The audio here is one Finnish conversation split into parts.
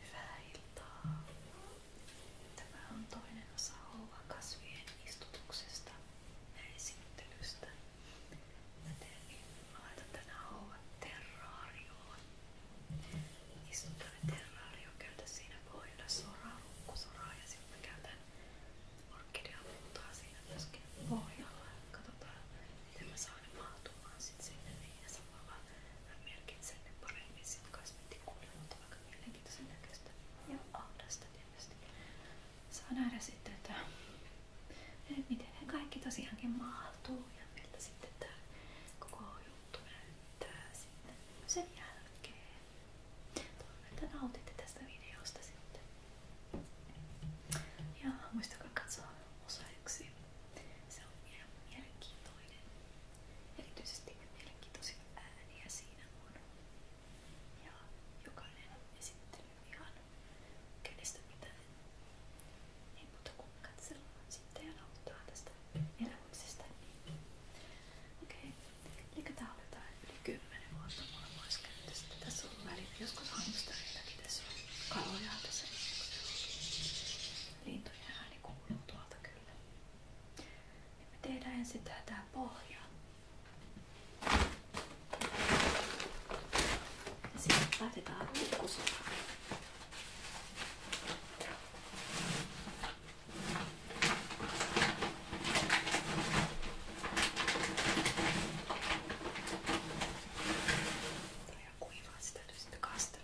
Hyvää iltaa. Tämä on toinen osa kasvien istutuksesta ja esittelystä. Mä, teen, niin, mä laitan tänään houvat terraarioon. Istutan terraario, käytän siinä pohjalla soraa, lukkusoraa ja sitten mä käytän orkideapuutaa siinä myöskin pohjalla. Katsotaan miten mä saan tule maatumaan sit sinne niin ja samalla mä merkitsen ne paremmin sinne kasvetikuulle, mutta aika mielenkiintoisen näköistä ja ahdasta tietysti. Saa nähdä sitten, että miten ne kaikki tosiaankin mahtuu ja miltä sitten tää koko juttu näyttää sitten sen jälkeen. Toivon, että nautitte tästä videosta sitten. Ja muistakaa katsoa osa 1. Se on mielenkiintoinen. Erityisesti mielenkiintoisia ääniä siinä on. Ja jokainen esittely ihan kenestä mitään. Ei muuta kuin katsellaan sitten ja nauttaa tästä elämyksestä. Okei, okay. tää on jotain yli 10 vuotta maailmaiskäytöstä. Tässä on väliin joskus hamstereitakin, tässä on kaloja tässä. Lintujen ääni kuuluu tuolta kyllä. Ja me tehdään ensin tää pohja. Ja sitten laitetaan pikkusotaan. Tuo kuivaa, sitä täytyy sitten kastella.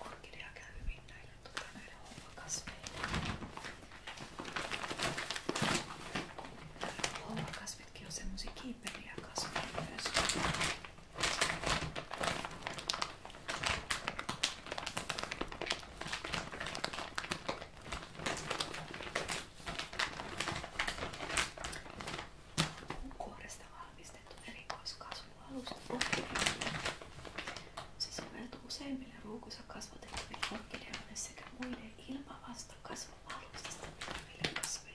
orkidea käy hyvin näille, tuota, näille hommakaspille. Hommakasvitkin on semmosia kiiperiä kasveja myös. Kuoresta valmiita tarkistettu erikoiskasvualusta Se soveltuu useimmille ruukussa kasvatettaville orkideoille sekä muille ilmavasta kasvualustasta pitäville kasveille.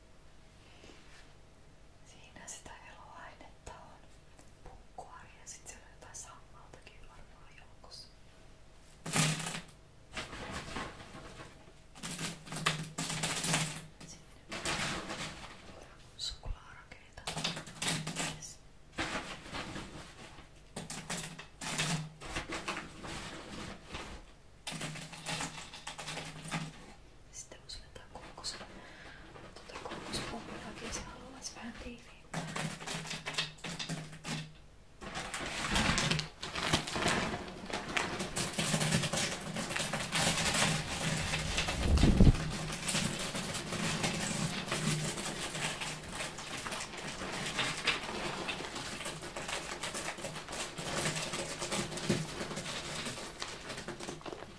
Siinä sitä eloainetta on. Pukkuari ja sitten siellä on jotain sammaltakin varmaan joukossa. Siinä suklaarakeita. Yes. Sitten voisi laittaa koukos, tuota koukospumppiakin, jos haluaisi vähän tiiviimpää. Sitten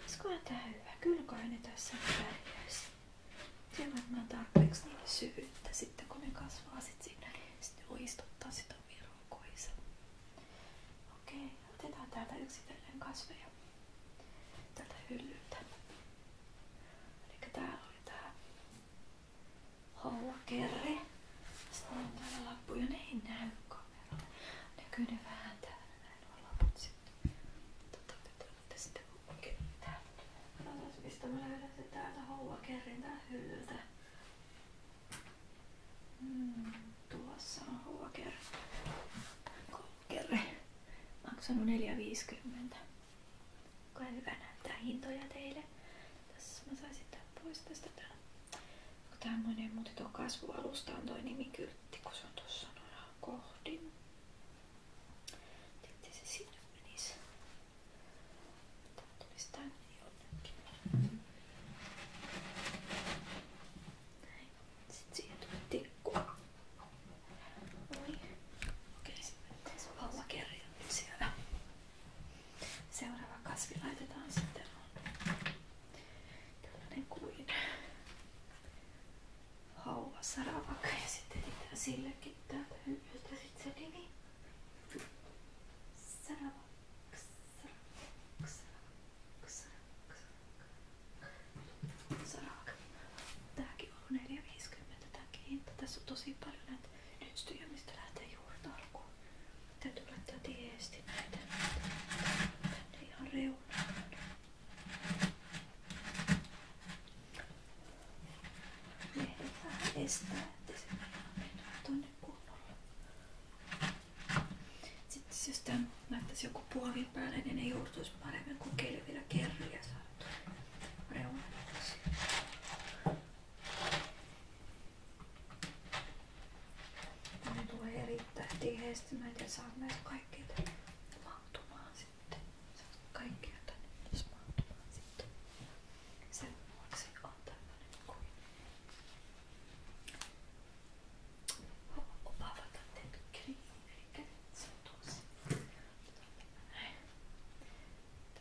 Olisikohan tää hyvä? Kylköhän ne tässä pärjäisi. Siellä mä tarpeeksi niille syvyyttä sitten kun ne kasvaa sit siinä. Sitten voi istuttaa sitä omia Okei, otetaan täältä yksitellen kasveja. Tältä hyllyltä. Eli täällä oli tää hollakerre. Sitten on täällä lappuja, ne ei näy kameraan. Näkyy ne vähän täällä näin ollaan, mutta sitten totta kai te olette sitten kuitenkin täällä. Katsotaan mistä mä löydän se täältä houvakerrin tää hyllyltä. Mm, tuossa on houvakerri. Kolkerri. Maksanut 4,50. Kai hyvä näyttää hintoja teille. Tässä mä saisin tän pois tästä tää. Tämmönen, mutta tuo kasvualusta on toi nimikyltti, kun se on tuossa noin kohdin. Sitten se sinne menisi. Tää tulisi tänne jonnekin. Näin. Sitten siihen tulee tikku. Noin. Okei, sitten mennään siellä. Seuraava kasvi laitetaan sitten on tällainen kuin hauva saravakka ja sitten etsitään sillekin täältä hyllystä sit se nimi. Saravakka, saravakka, saravakka, saravakka, saravakka. Tääkin on 4,50 tääkin Tässä on tosi paljon lähtee juurta Täytyy laittaa tiesti näitä tänne ihan reunaan. Lehdet vähän estää, ettei se mennä tuonne kunnolla. Sitten jos tämän laittaisi joku puovin päälle, niin ne juurtuisi paremmin kuin kelvillä kerryjä saatu reunalle. Ne tulee erittäin tiheästi. Mä en saa myös kaikkea tänne mahtumaan sitten. Saat kaikkea tänne myös mahtumaan sitten. Sen vuoksi on tämmönen kuin tänne tetkeli. Eli se on tuossa. Näin.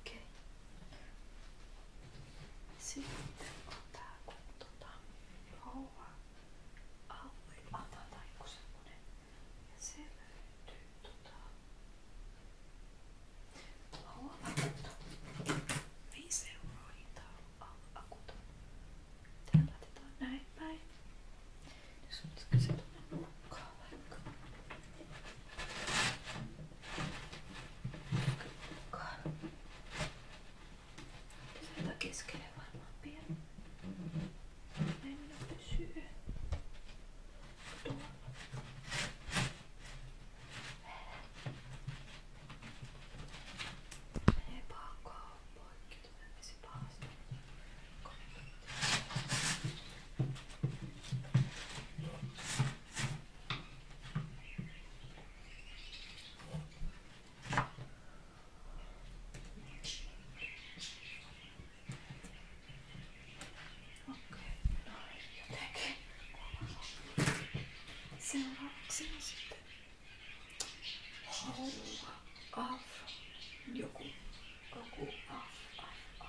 Ok? Sitten ottaa kun tota, rouva aukoi, antaa tai joku semmonen. Ja se löytyy tota... Rouva akuto. 5 euroa hinta on akuto. Tää laitetaan näin päin. Jos nyt se tuonne nurkkaan vaikka. Sieltä keskelle varmaan pieni. Mennä pysyy. Tuolla. Menee paakaan poikki. Tulee vesi pahasti. Komentaa. Seuraavaksi on sitten haluaa af, joku, joku af, af, af.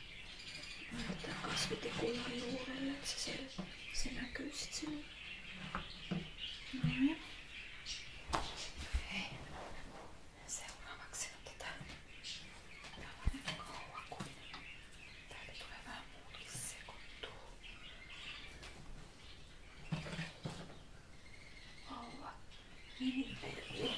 Laitetaan kasvitikuja juurelle, että se, siellä, se näkyy sit sinne. Noin. Hei. Seuraavaksi on tätä tota- tällainen kauakuinen. Täältä tulee vähän muutkin sekoittuu. Haua. Minivelli.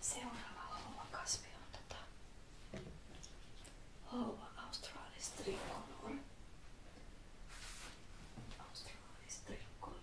Seuraava houvakasvi on tota houva australis tricolor. Australis tricolor.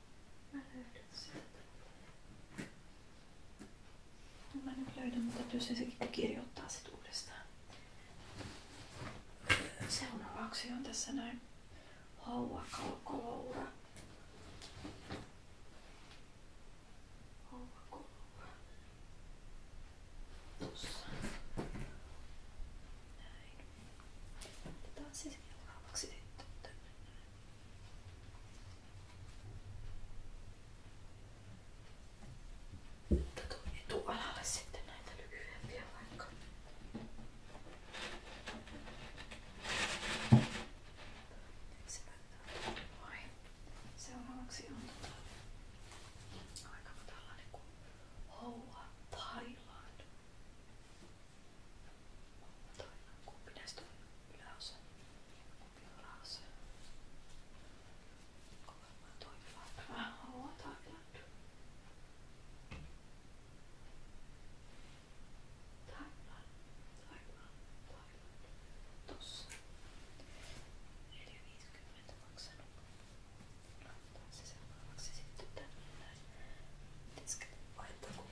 Mä nyt löydän, mutta pystyn sekin kirjoittaa sit uudestaan. Seuraavaksi on tässä näin haua kalkoloura. Seuraavaksi sitten tämmöinen mutta tuon etualalle sitten näitä lyhyempiä vaikka. Vai. Seuraavaksi on tota, aika tällainen kuin Hoa Thailand. Toinen, kumpi näistä on yläosa? Kumpi on alaosa? Onko varmaan toi yläosa? Oho, Thailand. Thailand, Thailand, Thailand. Tossa. 4,50 maksanut. Laitetaan se seuraavaksi sitten tänne näin. Pitäisikö laittaa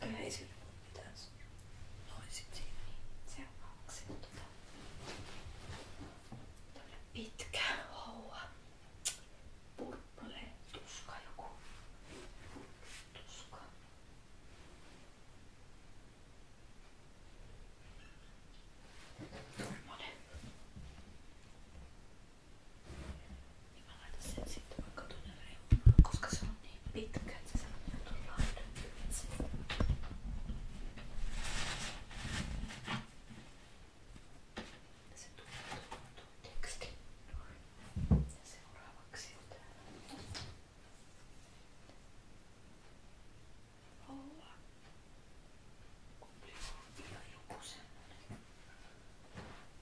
Kyllä ei sillä ole mitään Noin sit siinä. Niin seuraavaksi on tota... pitkä haua. Purple tuska joku. Tuska. Tuommoinen. Niin mä laitan sen sitten vaikka tuonne reunaan, koska se on niin pitkä, että se menee tuon laidan ylitse. Se tulee tuon, tuon tekstin noin. Ja seuraavaksi on täällä. Olla. Kumpi on ihan joku semmonen.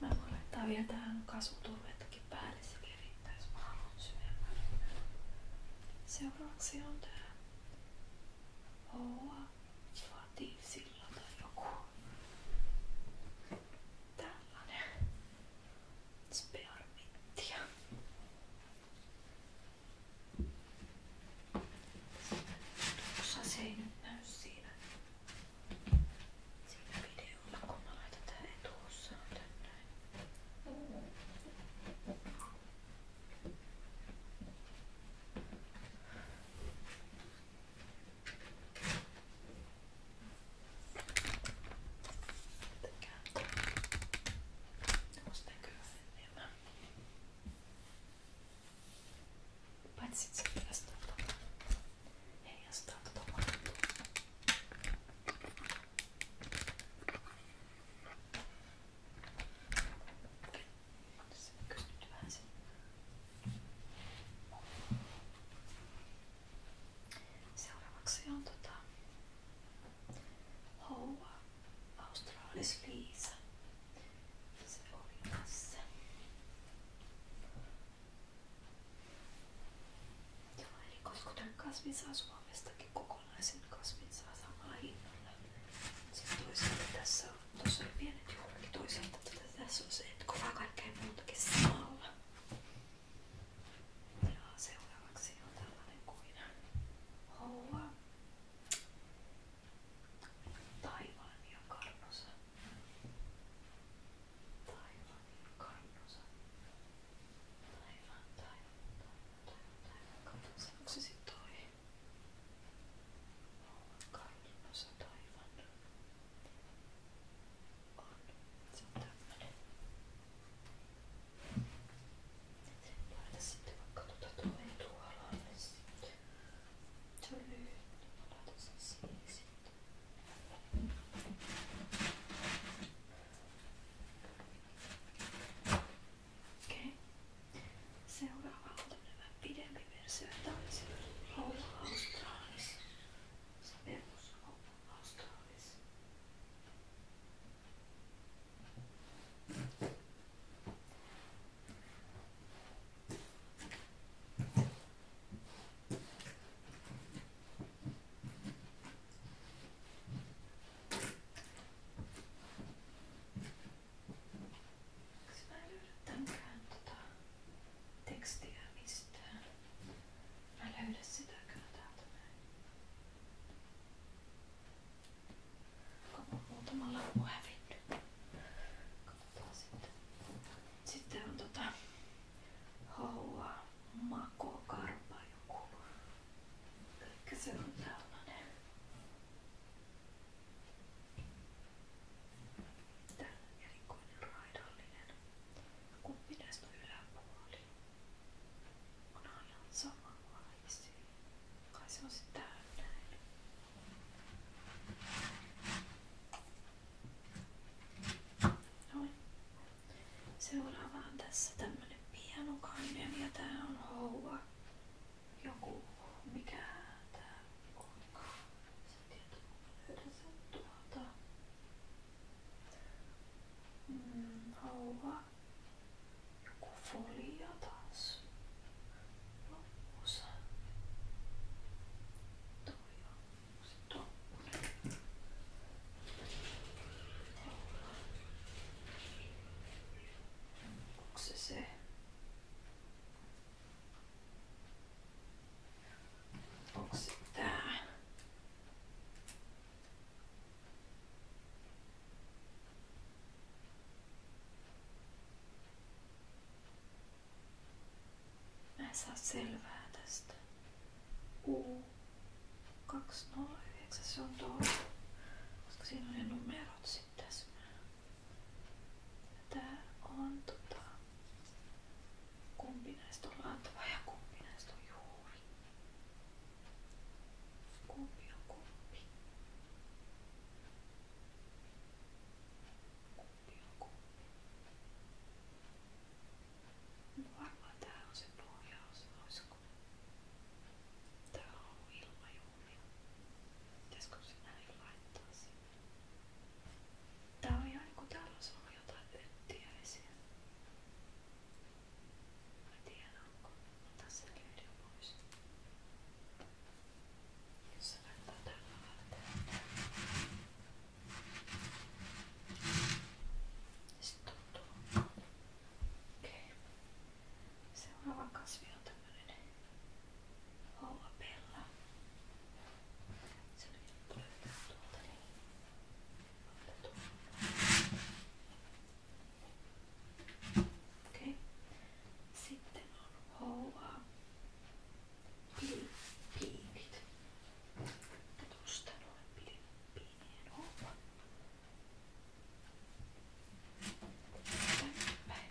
Mä voin laittaa vielä tähän kasvuturvettakin päälle, se levittää, jos mä haluan syvemmälle. Seuraavaksi on tää Hoa Vaatii sillä tai joku. Tällainen. Spearminttia. Tossa se ei nyt näy siinä, siinä videolla, kun mä laitan tää etuossaan tänne mihinkään. Onks näkyy enemmän? Paitsi se heijastaa tuota. Heijastaa tuota mattua. Tässä näkyy nyt vähän sen. Seuraavaksi on tota... Hoa Australis Liisa. Se oli tässä. Joo, eli koskoton kasvin saa Suomestakin kokonaisen kasvin saa samalla hinnalla. Niin sitten toisaalta tässä on, tuossa oli pienet juurikin, toisaalta tässä on se, että kuvaa kaikkea muutakin samalla. Ja seuraavaksi on tällainen kuin haua taivaan ja karnosa. Taivaan ja karnosa. Taivaan, taivaan, taivaan, taivaan, taivaan, karnosa. Onko se sit toi? Hauan karnosa, taivaan. On. Se on tämmönen. Laita sitten vaikka tuota toinen tuolla sitten. Se on lyhyt, niin mä laitan sen siihen sitten. Okei. Okay. Seuraava on tämmöinen pidempi versio. Tämä oli se Rolla Australis. Se perus Rolla Australis. Mä en löydä tämänkään tota tekstiä mistään. Älä yhdä sitä kyllä täältä näin. Onko mun muutama lappu hävinnyt? Katsotaan sitten. Sitten on tota... Haua makokarpa joku. Elikkä se on tällainen. Tää erikoinen raidallinen. Kumpi näistä on yläpuoli? on Hannan sama vaisi. Kai se on sitten täällä näin. Noin. Seuraava on tässä tämmönen pianokannen ja tää on houva. Joku, mikä tää onkaan. Sä tiedät, kun mä löydän sen tuolta. Mm, haluaa joku foliatanssi loppuosa. Toi on se toppunen. Onko se se? Onko se tää? Mä en saa selvää tästä. U209 se on tuo. Koska siinä on ne numerot sitten tässä. Tää on tota... Kumpi näistä on antava ja kumpi näistä on juuri? Kumpi on kumpi? Kumpi on kumpi? No varmaan tää on se pohjaosa, olisiko? Tää on ollut ilmajuumia. Pitäisikö se näin laittaa sinne? Tää on ihan niinku täällä olisi ollut jotain öttiäisiä. Mä tiedän, onko. Mä tässä löytyy pois. Jos se näyttää tällä välttää. Sitten tuntuu. Okei. Okay. Seuraava kasvi on tämmönen hollapella. Se oli löytää tuolta niin. Okay. Sitten on hoa piikit. Tuosta noin pilippiinien hoa. Tänne päin.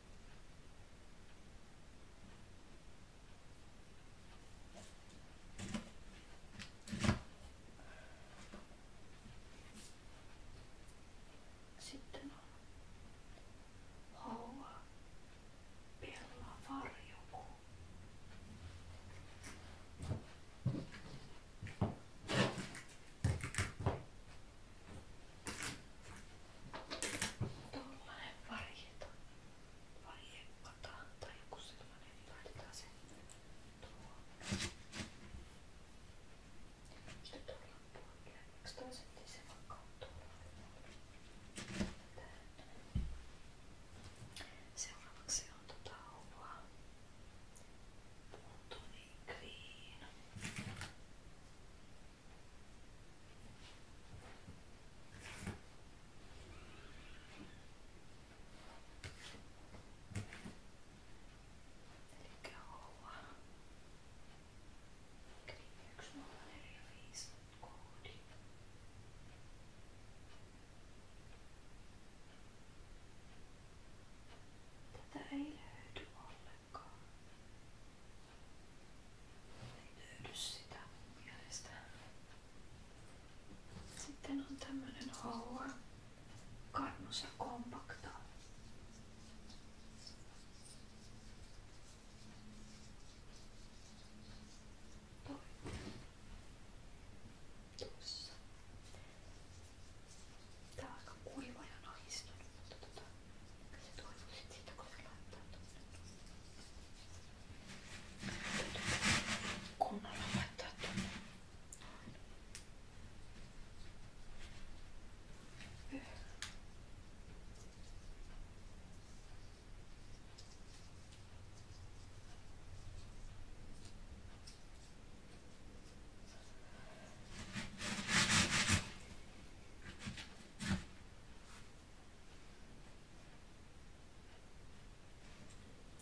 Sitten on haua, pella, varjoku. Tuollainen varjeta. Varjevata tai joku sellainen. Niin laitetaan se tuohon. Sitten tuolla puolella. Eikö toi sitten se vaikka tuolla? Seuraavaksi on tota Oua Puntoni Green. Eli olla yksi viisi koodi. Tätä ei löydy ollenkaan aikaa. Ei löydy sitä mun mielestä. Sitten on tämmönen haua. Kannusa kompakta. Toinen. Tuossa. Tää on aika kuiva ja nahistunut, mutta tota, se toivoo sit siitä, kun se laittaa tuonne. Kunnolla laittaa tuonne. Noin. Joo,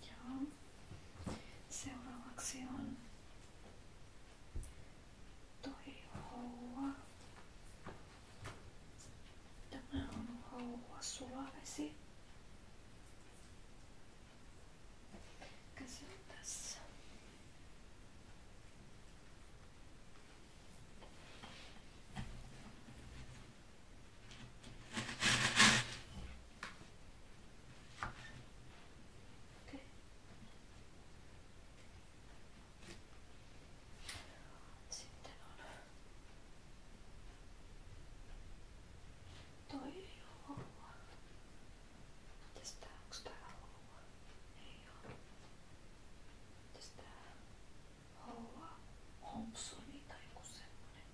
Joo. Seuraavaksi on toi houa. Tämä on houa sulavesi. Käsin tässä. Okay. Sitten on toi juoma. Mitäs tää? Onks tää houa? Ei oo. Mitäs tää? Houa Thompsoni tai joku semmonen.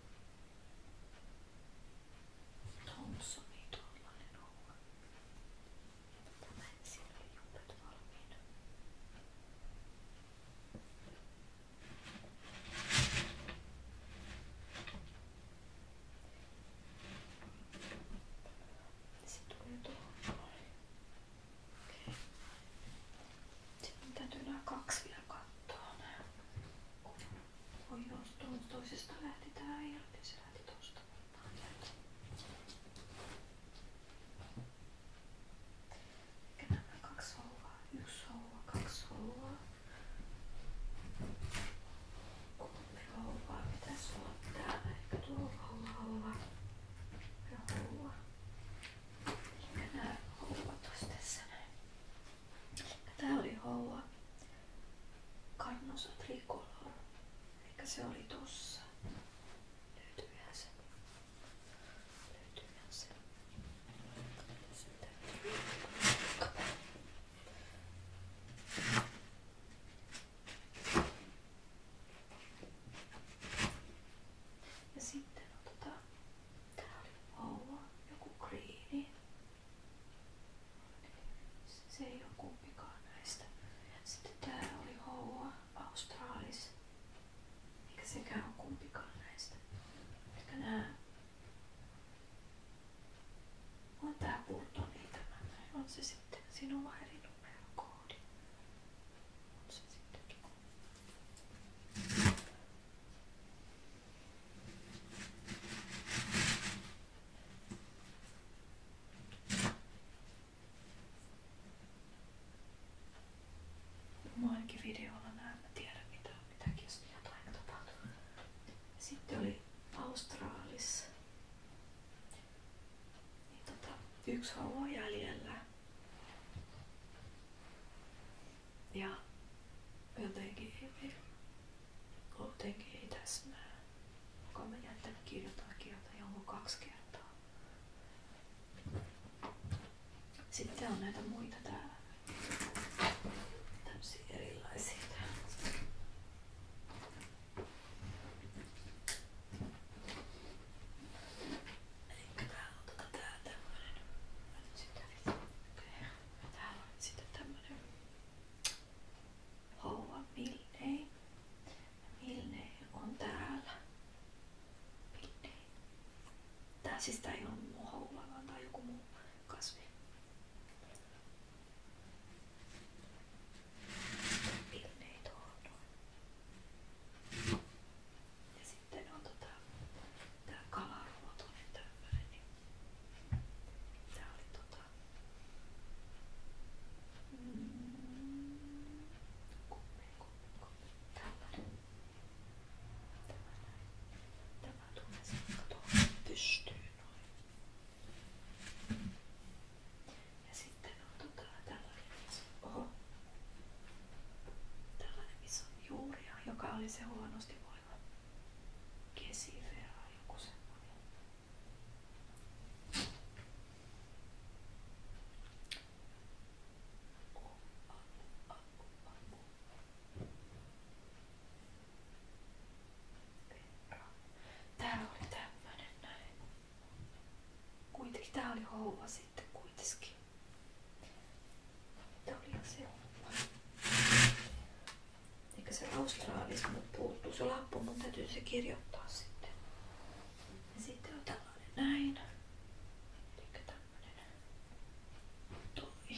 Thompsoni tuollainen houa. Tämä siellä oli jumpet valmiina. Se tulee tuohon okay. Sitten täytyy nämä kaksi vielä katsoa. Voi jos tuosta toisesta lähti tää irti, se lähti tuosta varmaan täältä. Eikä nämä kaksi houvaa, yksi houva, kaksi houvaa. Kumpi rouva pitäisi olla täällä? Eikö tuo rouva olla? Rouva. Eikä nää rouvat olisi tässä näin. Tää oli rouva. Kannosa trikolor. Eikä se oli tossa. Löytyyhän se. Löytyyhän se. Sitten. Kato. Ja sitten on tota... Oua, joku kriini. Se ei ole kumpikaan näistä. Sitten tää oli Houa Australis. Eikä sekään ole kumpikaan näistä. Ehkä nää on tää Burtonin tämä. On se sitten. Siinä on vaan eri numerokoodi. On se sittenkin. Moinkin videolla näin, mä oli Austraalissa niin tota, yksi haua jäljellä. Ja jotenkin ei, jotenkin ei täsmää. Onko mä jättänyt kirjoitan kieltä jonkun kaksi kertaa? Sitten on näitä muita täällä. Tämmöisiä erilaisia täällä. Elikkä täällä on on sitten tämmönen Houva on täällä. siis tää ei oo mun houva vaan tää on joku muu kasvi. Pillei tuohon noin. Ja sitten on tota, tää kalaruotoinen niin tämmönen. Niin tää oli tota... Mm, kumme, kumme, kumme. Tällainen. Tämä näin. Tämä tulee sitten pystyy noin. Ja sitten on tota, tällainen iso, oho, tällainen iso juuria, joka oli se huonosti voiva kesivea, joku semmoinen. Oh, oh, oh, oh, oh. Bra. Täällä oli tämmönen näin. Kuitenkin tää oli houva sitten kuitenkin. Mitä oli se houva? Eikä se austraalis mut puuttuu se lappu, mun täytyy se kirjoittaa sitten. Ja sitten on tällainen näin. Eikä tämmönen. Toi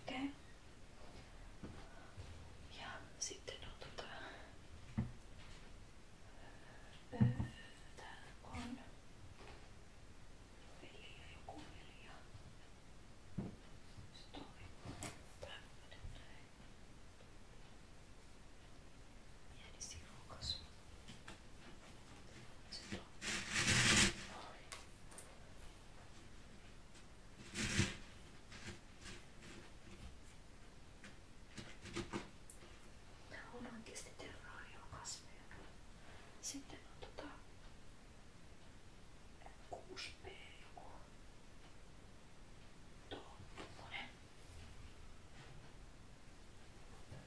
Okei. Okay. Ja sitten on tota... Öö, täällä on veli ja joku veli ja... Sitten tämmönen näin. Pieni sivukas. Tää on oikeasti terraariokasveja. Sitten on tota 6B joku. Tuo, tuommoinen. Mutta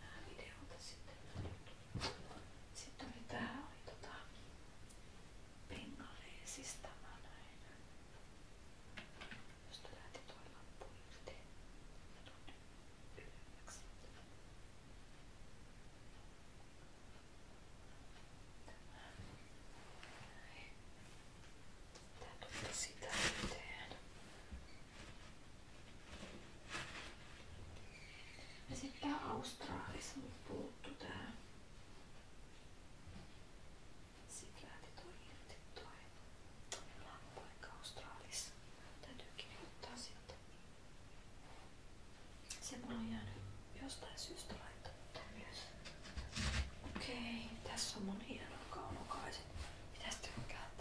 nämä videolta sitten. Sitten oli tää oli tota bengaleesista mä näin. Josta lähti tuo lappu irti ja tuonne ylemmäksi. Tämä. Näin. Tää tuli sitä yhteen. Ja sit tää Australis mut puuttu tää. Sit lähti toi irti toi lampaikka Australis. Täytyykin ottaa sieltä. Se mulla on jäänyt jostain syystä laittamatta myös. Okei, tässä on mun hieno kaunokaiset Mitäs tykkäät?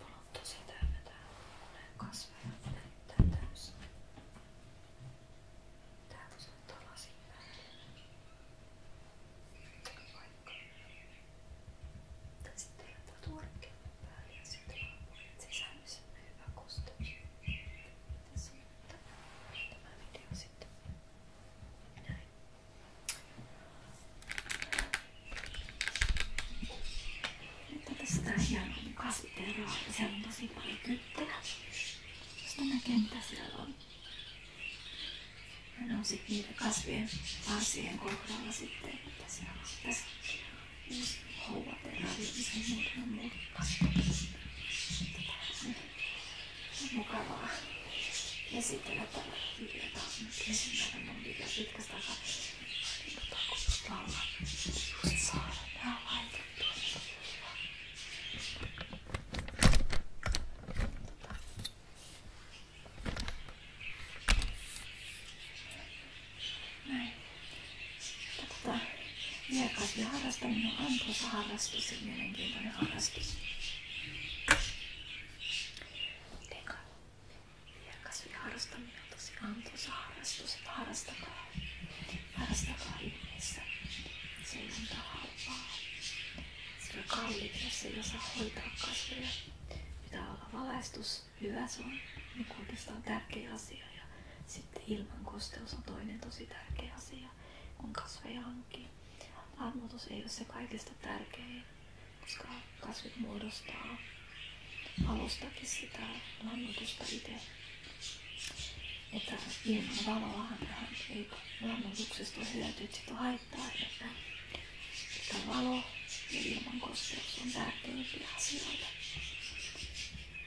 Mulla on tosi täynnä täällä unen kasveja. Näyttää täysin. Tää voisi ottaa lasin Vaikka. Tai sitten laittaa tuorekin päälle ja sitten vaan sisälmissä on hyvä koste. Tässä on tämä video sitten. Näin. Mutta tästä hienon kasviteroa, siellä on tosi paljon kyttejä. Sitten näkee mitä siellä on. Ja ne on sitten niiden kasvien varsien kohdalla sitten, mitä siellä on. Tässä houvat ja ravinsa ja muuta muuta. Tätä mukavaa. Ja sitten näitä videota esimerkiksi mun video pitkästä aikaa. Takuuslalla just saada nää laitettua. Näin. Tätä vieraiden harrastaminen on tuossa harrastus ja mielenkiintoinen harrastus. Mitenkä kasviharrastaminen on tosi antoisa harrastus, että harrastakaa, harrastakaa Se ei antaa halpaa. Se on kalliita, jos ei kasveja. Pitää olla valaistus, hyvä on niin tärkeä asia. sitten ilman kosteus on toinen tosi tärkeä asia, kun kasveja hankkii. Armoitus ei ole se kaikista tärkein, koska kasvit muodostaa alustakin sitä lannoitusta itse. Että ilman valoa hän ei lannoituksesta hyötyä, että siitä haittaa enemmän. Että valo ja ilman kosteus on tärkeimpiä asioita.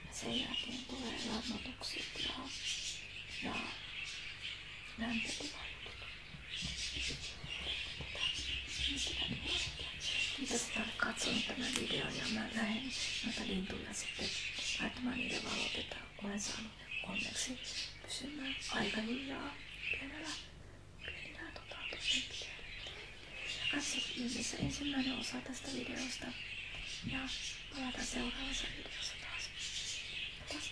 Ja sen jälkeen tulee lannoitukset ja, ja lämpötilajuutut. Kiitos että olet katsonut tämän videon ja mä lähden noita lintuja sitten laittamaan niiden valotetta. Olen saanut onneksi pysymään aika hiljaa pienellä, pienellä tota, Katso ihmisessä ensimmäinen osa tästä videosta ja palataan seuraavassa videossa taas. Taas.